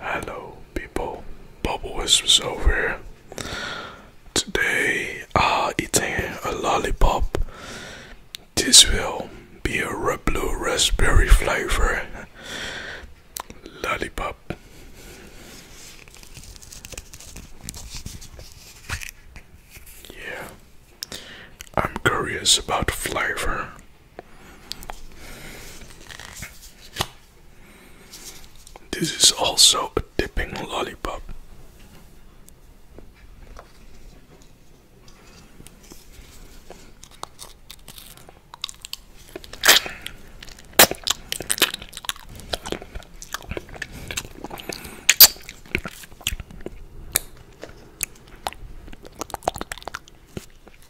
Hello, people. Bubble Whispers over here. Today, I'm eating a lollipop. This will be a red blue raspberry flavor lollipop. Yeah, I'm curious about flavor. This is also a dipping lollipop.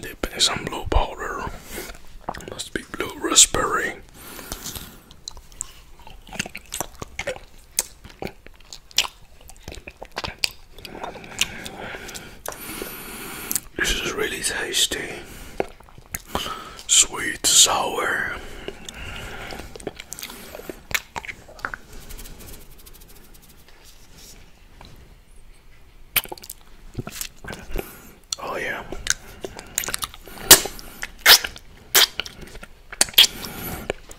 Dipping in some blue powder. Must be blue raspberry. This is really tasty. Sweet, sour. Oh, yeah.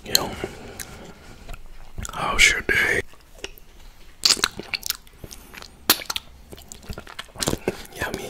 You how's oh, your day? Yummy.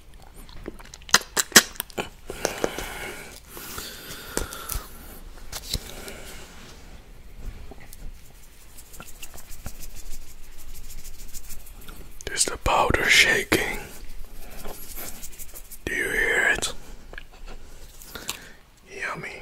Is the powder shaking? Do you hear it? Yummy.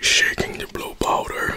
shaking the blow powder.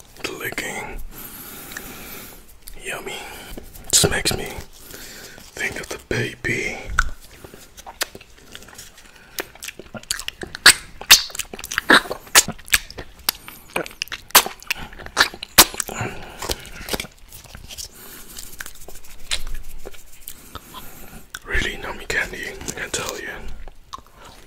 licking. Yummy. This makes me think of the baby. Really nummy candy, I can tell you.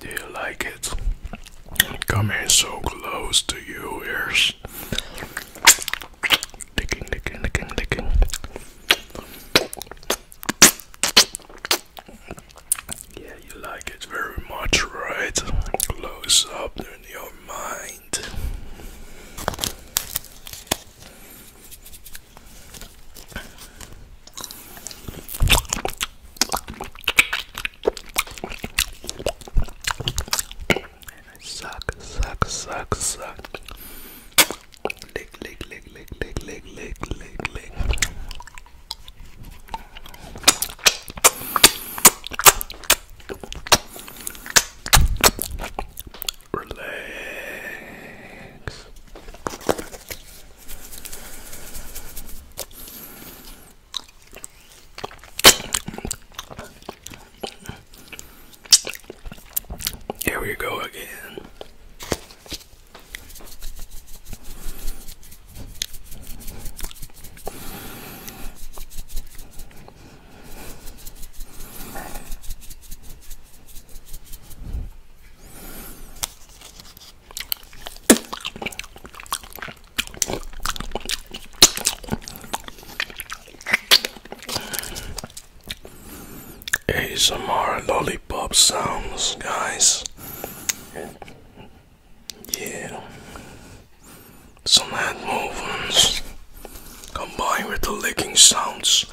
Do you like it? Coming so close to your ears. Yeah, you like it very much, right? Close up in your mind. Suck, suck, suck, suck. Lick, lick, lick, lick, lick, lick, lick, lick, lick. Relax. Here we go again. ASMR lollipop sounds, guys. Yeah, some head movements combined with the licking sounds.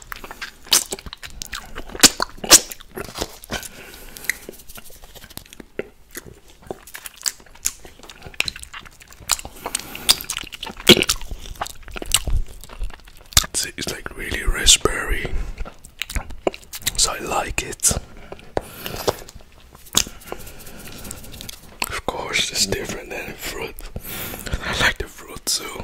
It's, like really raspberry, so I like it. Of course, it's different than fruit. I like the fruit too.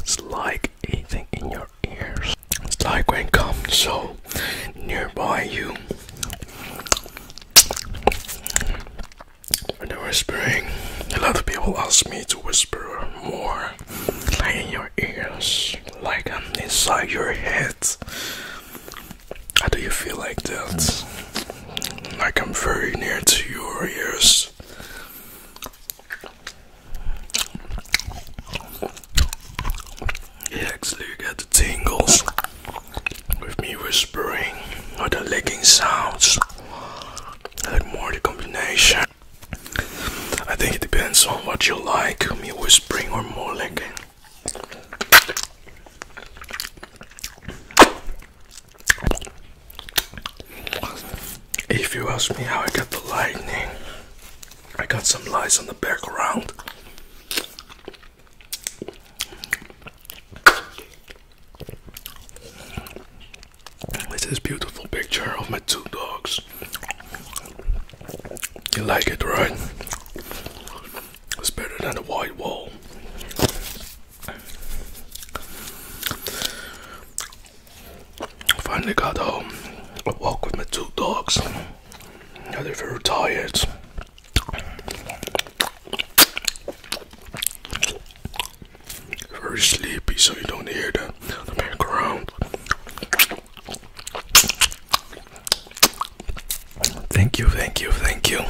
It's like eating in your ears. It's like when comes so nearby you. When they whispering, a lot of people ask me to whisper more. Like in your ears, like I'm inside your head. How do you feel like that? Like I'm very near to your ears this. You actually get the tingles with me whispering or the licking sounds. like more the combination. I think it depends on what you like, me whispering or more licking. If you ask me how I got the lightning, I got some lights on the background. It's this beautiful picture of my two dogs. You like it, right? It's better than a white wall. Finally got home. I walked with my two dogs. Now they're very tired. Very sleepy, so you don't hear the, the background. Thank you, thank you, thank you.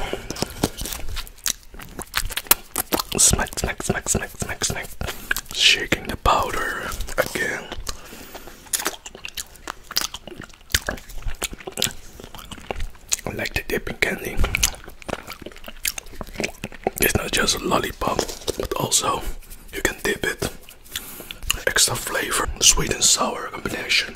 Smack, smack, smack, smack, smack, smack. Shaking the powder again. I like the dipping candy. It's not just a lollipop, but also you can dip it. Extra flavor, sweet and sour combination.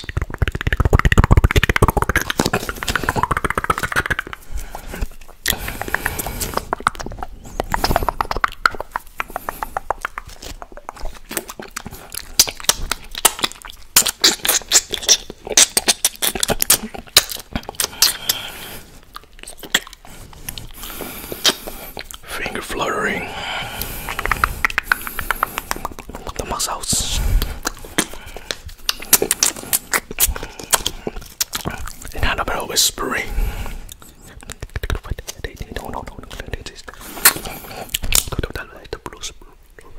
Finger fluttering. Tama's house. And had a bit of whispering. No, no, no, the blues,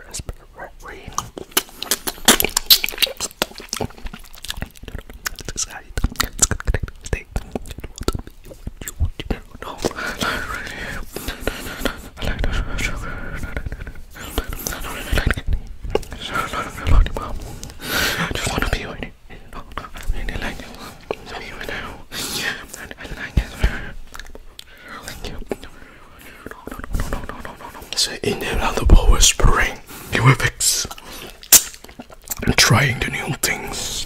raspberry. I just want to be with you. I really like you. To be with you. I like it. Thank you. No, no, no, no, no, no, no. Say in and out the power spring. New effects. I'm trying the new things.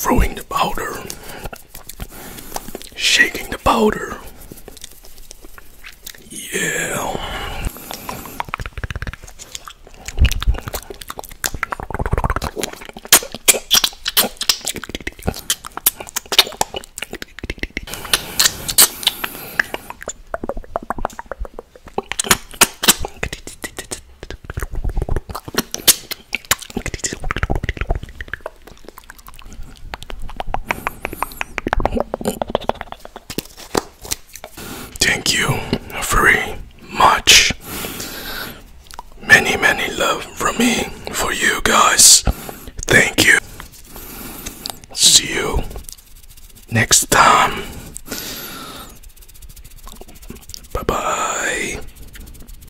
Throwing the powder shaking the powder. Yeah. Thank you very much. Many, many love from me for you guys. Thank you. See you next time. Bye bye.